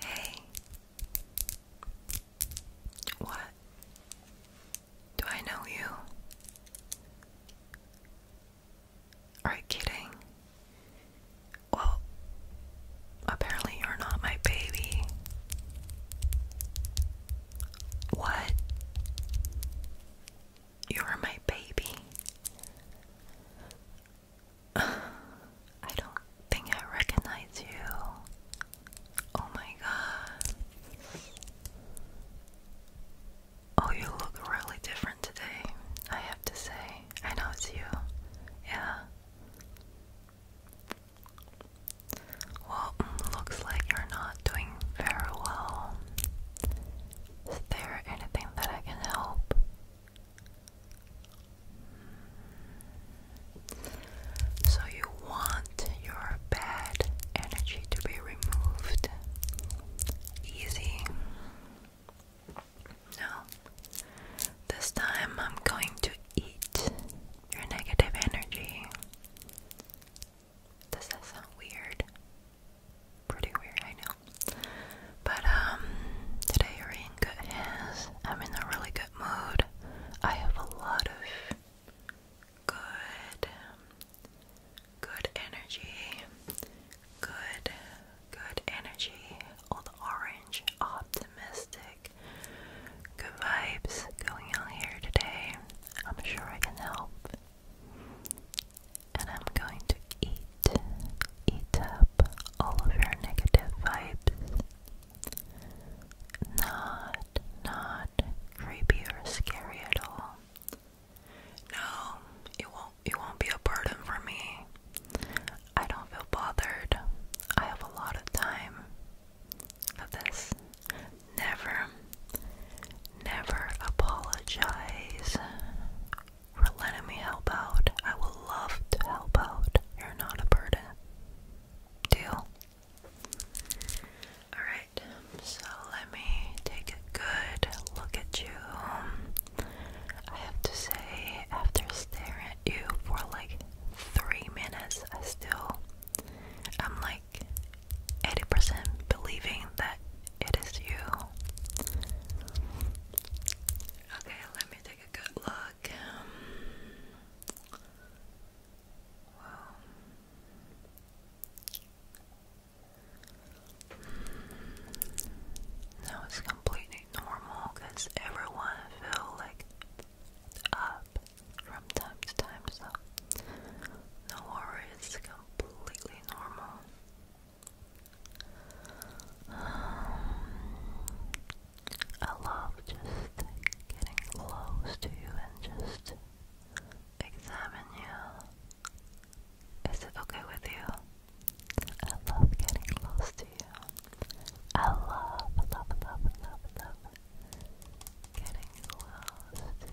Hey. What? Do I know you? Are you kidding? Well, apparently you're not my baby. What? You're my baby. I don't think I recognize you. Oh my god. Oh, you look really different today, I have to say. I know it's you. Yeah. Well, mm, looks like you're not doing very well. Is there anything that I can help? So, you want your bad energy to be removed. Easy. Now, this time I'm going to eat your negative energy. Does that sound weird? Pretty weird, I know. But um, today you're in good hands. I'm in a really good mood. I have a lot of good, good energy. Good, good energy. All the orange, optimistic, good vibes going on here today. I'm sure I can help. And I'm going to eat eat up all of your negative vibes. Not, not creepy or scary at all. No, it won't. It won't be a burden for me. I don't feel bothered. I have a lot of time for this. Never, never apologize for letting me help out. I would love to help out. You're not a burden. Deal? Alright, so let me take a good look at you. I have to say, after staring at you for like three minutes, I still, I'm like 80% believing that it is you. Okay, let me take a good look like it's um, completely normal because everyone feel like up from time to time, so no worries, it's completely normal. Um, I love just getting close to you and just examine you. Is it okay with you? I love getting close to you. I love, love, love, love, love getting close to you.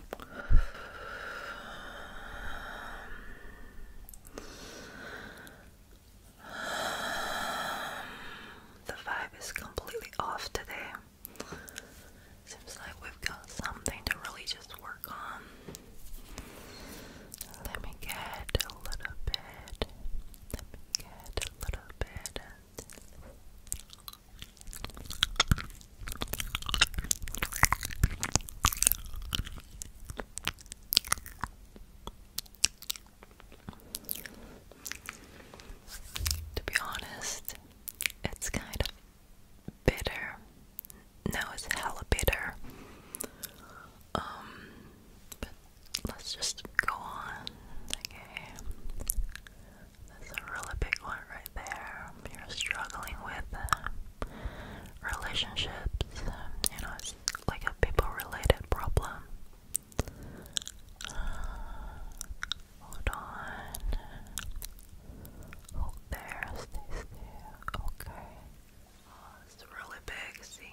The vibe is completely off today. Seems like we've got something to really just work on. Let me get a little bit. Let me get a little bit. To be honest, it's kind of bitter. No, it's hella bitter. Um, let's just go on. Okay, that's a really big one there. You're struggling with uh, relationships, you know, it's like a people related problem. Uh, hold on. Hold oh, there, Okay. Oh, it's really big, see?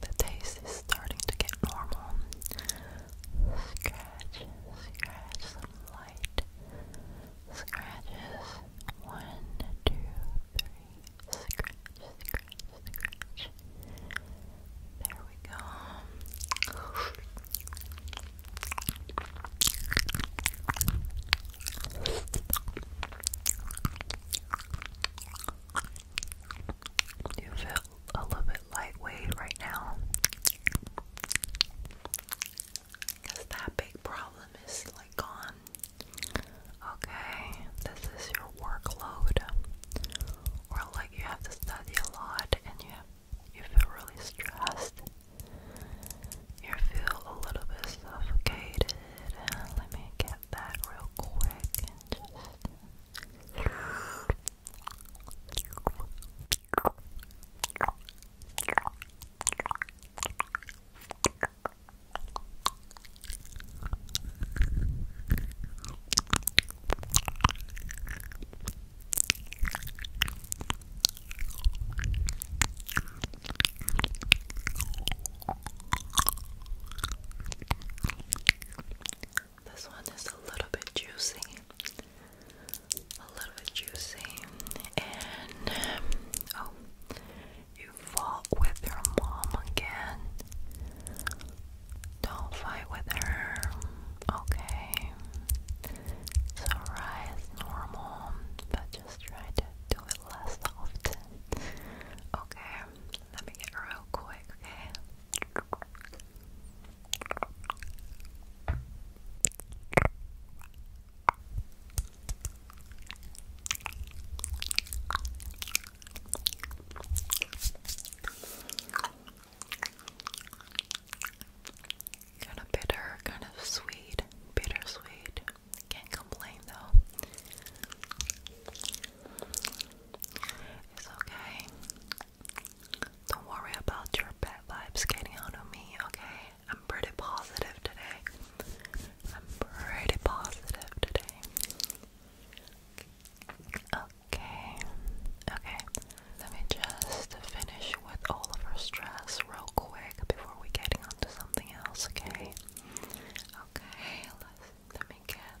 The taste is starting to get normal. Scratch, scratch, light scratches. One, two, three. Scratch, scratch, scratch. There we go. You feel a little bit lightweight right now. Because that big problem is like gone. Okay, this is your workload. Or like you have to study a lot and you you feel really stressed. You feel a little bit suffocated. Let me get grab that real quick and just. This one is a little bit juicy, a little bit juicy, and um, oh, you fought with your mom again. Don't fight with her, okay? It's normal, but just try to do it less often, okay? Let me get real quick, okay? Kind of bitter, kind of sweet, bittersweet. Can't complain though. It's okay. Don't worry about your bad vibes getting out me, okay? I'm pretty positive today. I'm pretty positive today. Okay. Okay. Let me just finish with all of our stress real quick before we getting on something else, okay? Okay, let let me get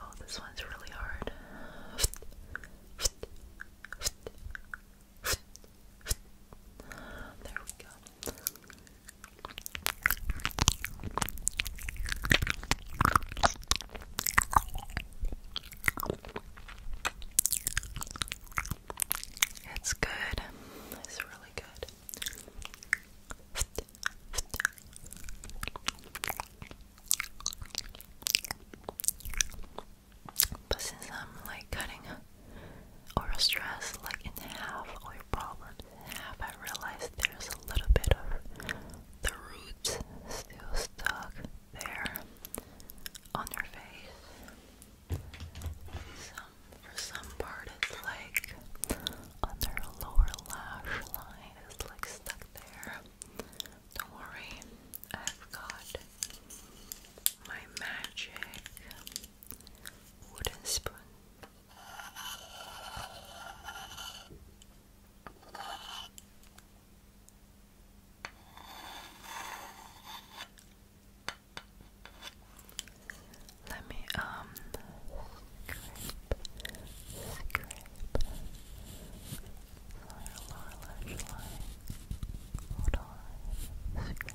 Oh, this one's really hard. There we go. It's good. It's really good. But since I'm um, like cutting or a stress like in half or your problems in half, I realized there's a little bit of the roots still stuck there on your face. Some for some part it's like under lower lash line is like stuck there. Don't worry, I've got my magic wooden spoon. Let me um scrape, scrape lower lash line, hold scrape,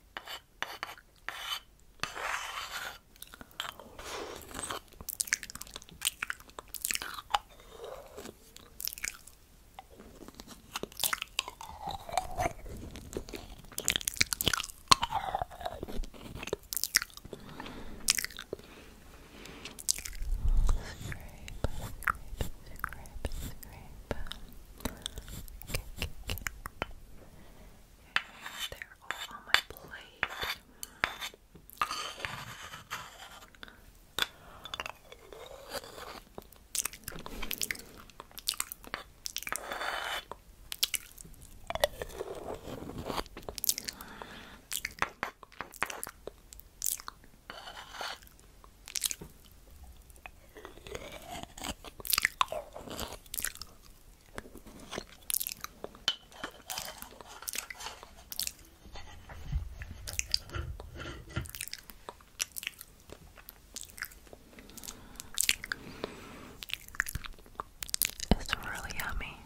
Scrape, scrape, scrape, scrape. Okay, okay, okay. They're all on my plate. It's really yummy.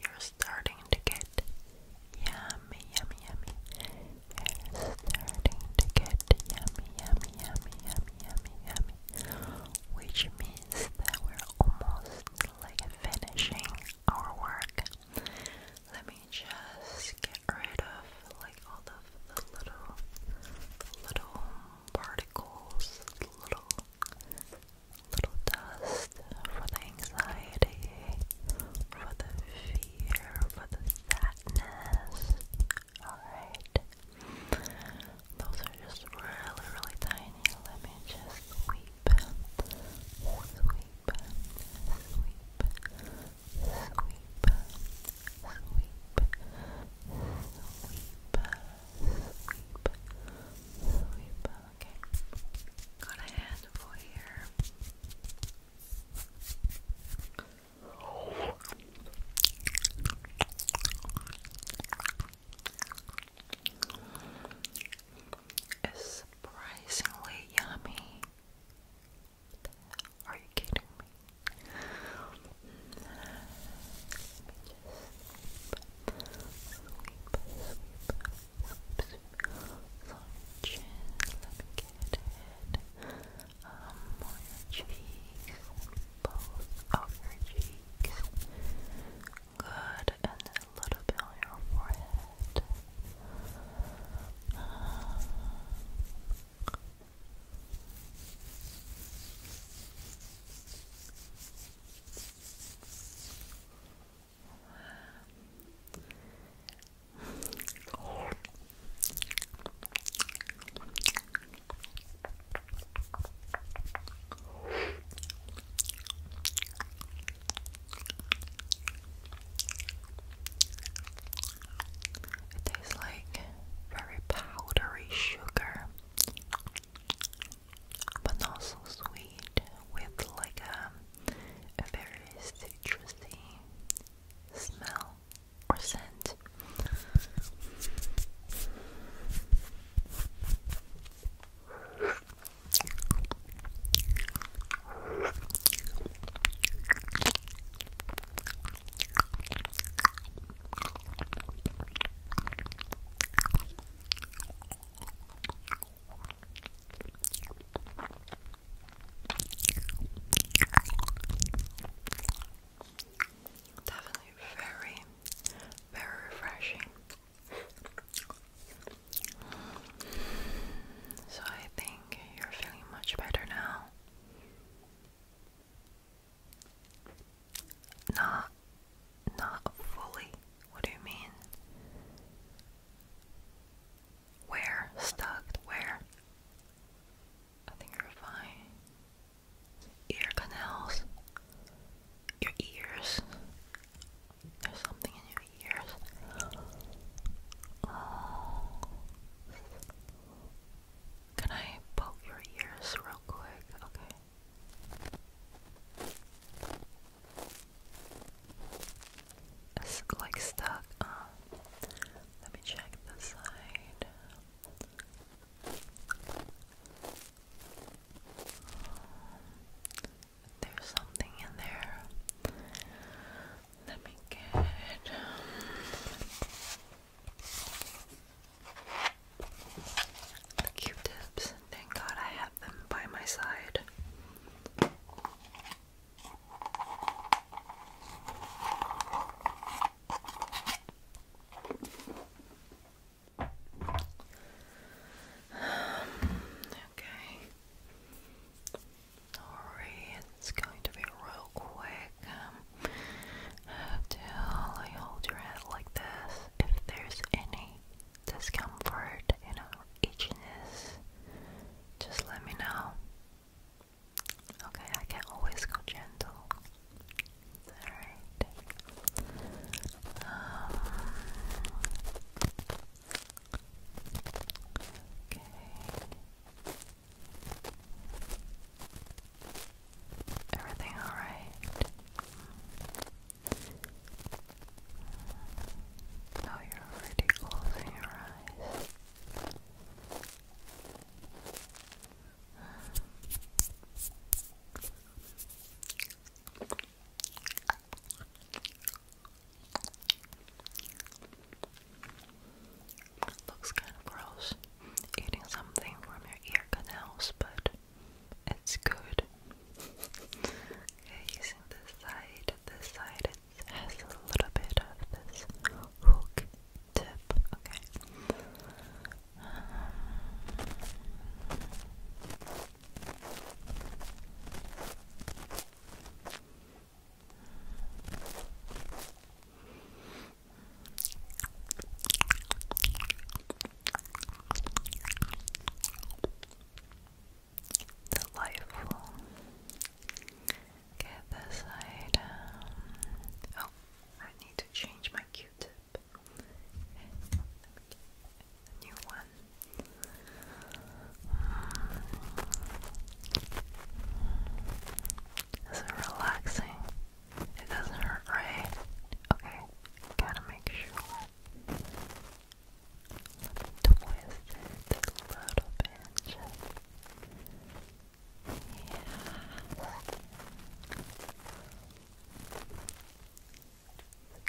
You're starting to get yummy, yummy, yummy, starting to get yummy, yummy, yummy, yummy, yummy, yummy, which means that we're almost like finishing our work. Let me just get rid of like all of the little, little particles, little, little dust for the anxiety, for the fear, for the sadness fatness. Alright. Those are just really, really tiny. Let me just sweep. Sweep. Sweep. Sweep. Sweep. Sweep. Sweep. Sweep. Okay. Got a handful here. It's surprisingly yummy. Are you kidding me? um, cheeks, both of your cheeks. Good, and a little bit on your forehead. It tastes like very powdery sugar, but not so sweet, with like um, a, very citrusy smell or scent. Definitely very, very refreshing. So I think you're feeling much better now. Not not fully. What do you mean? Where? Stuck? Where? I think you're fine. Ear canals. Your ears. There's something in your ears. Oh. Can I poke your ears real quick? Okay. It's like stuck. Uh, let me check the side. There's something in there. Let me get. Um, the Q-tips. Thank God I have them by my side. okay. Sorry, it's going to be real quick. Um, until I hold your head like this, if there's any discomfort, you know, itchiness, just let me know. Okay, I can always go gentle. Alright. okay. Everything alright? Oh, you're already closing your eyes. Looks kind of gross eating something from your ear canals, but it's good. okay, using this side, this side it has a little bit of this hook tip, okay. Delightful. Get this item. Um, oh, I need to change my Q-tip. Okay. new one. Mm. Is it relaxing? It doesn't hurt, right? Okay, gotta make sure. twist it a little bit. Yeah.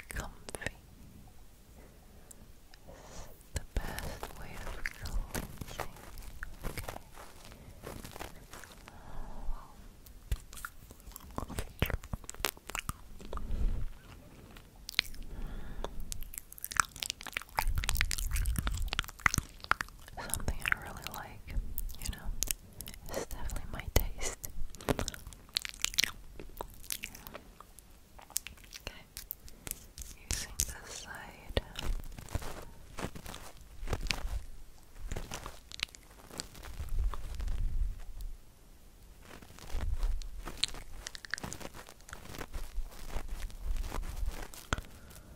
Comfy is the best way of cleansing. Okay. Something I really like, you know, it's definitely my taste. Okay, using this side.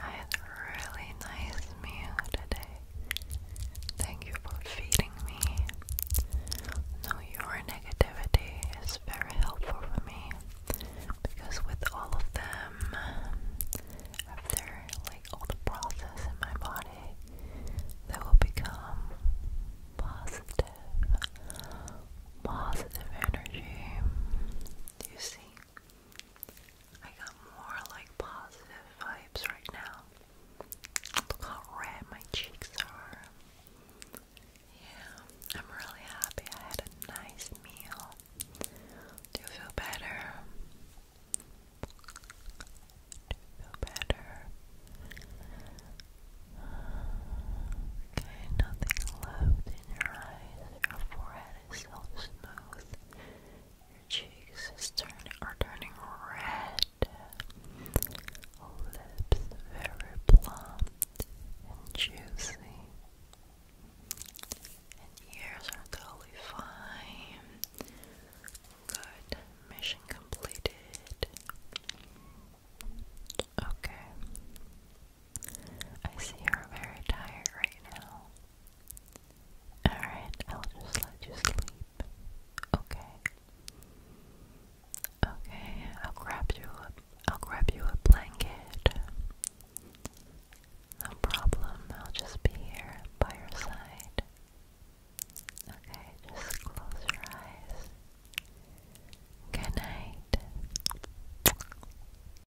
I had a really nice meal today. Thank you for feeding me. Now your negativity is very helpful for me because with all of them, after like all the process in my body, they will become positive, positive energy. Do you see? I got more like positive vibes right now. Look how red my cheeks are. Yeah, I'm really happy I had a nice meal. Do you feel better? Do you feel better? Okay, nothing left in your eyes, your forehead so smooth. Your cheeks are turning red. Lips very plump and juicy. And ears are totally fine. Good. Mission completed. Okay. I see you're very tired right now. Alright, I'll just let you sleep. Okay. Okay, I'll grab you a I'll grab you a blanket. No problem, I'll just be here by your side. Okay, just close your eyes. Good night.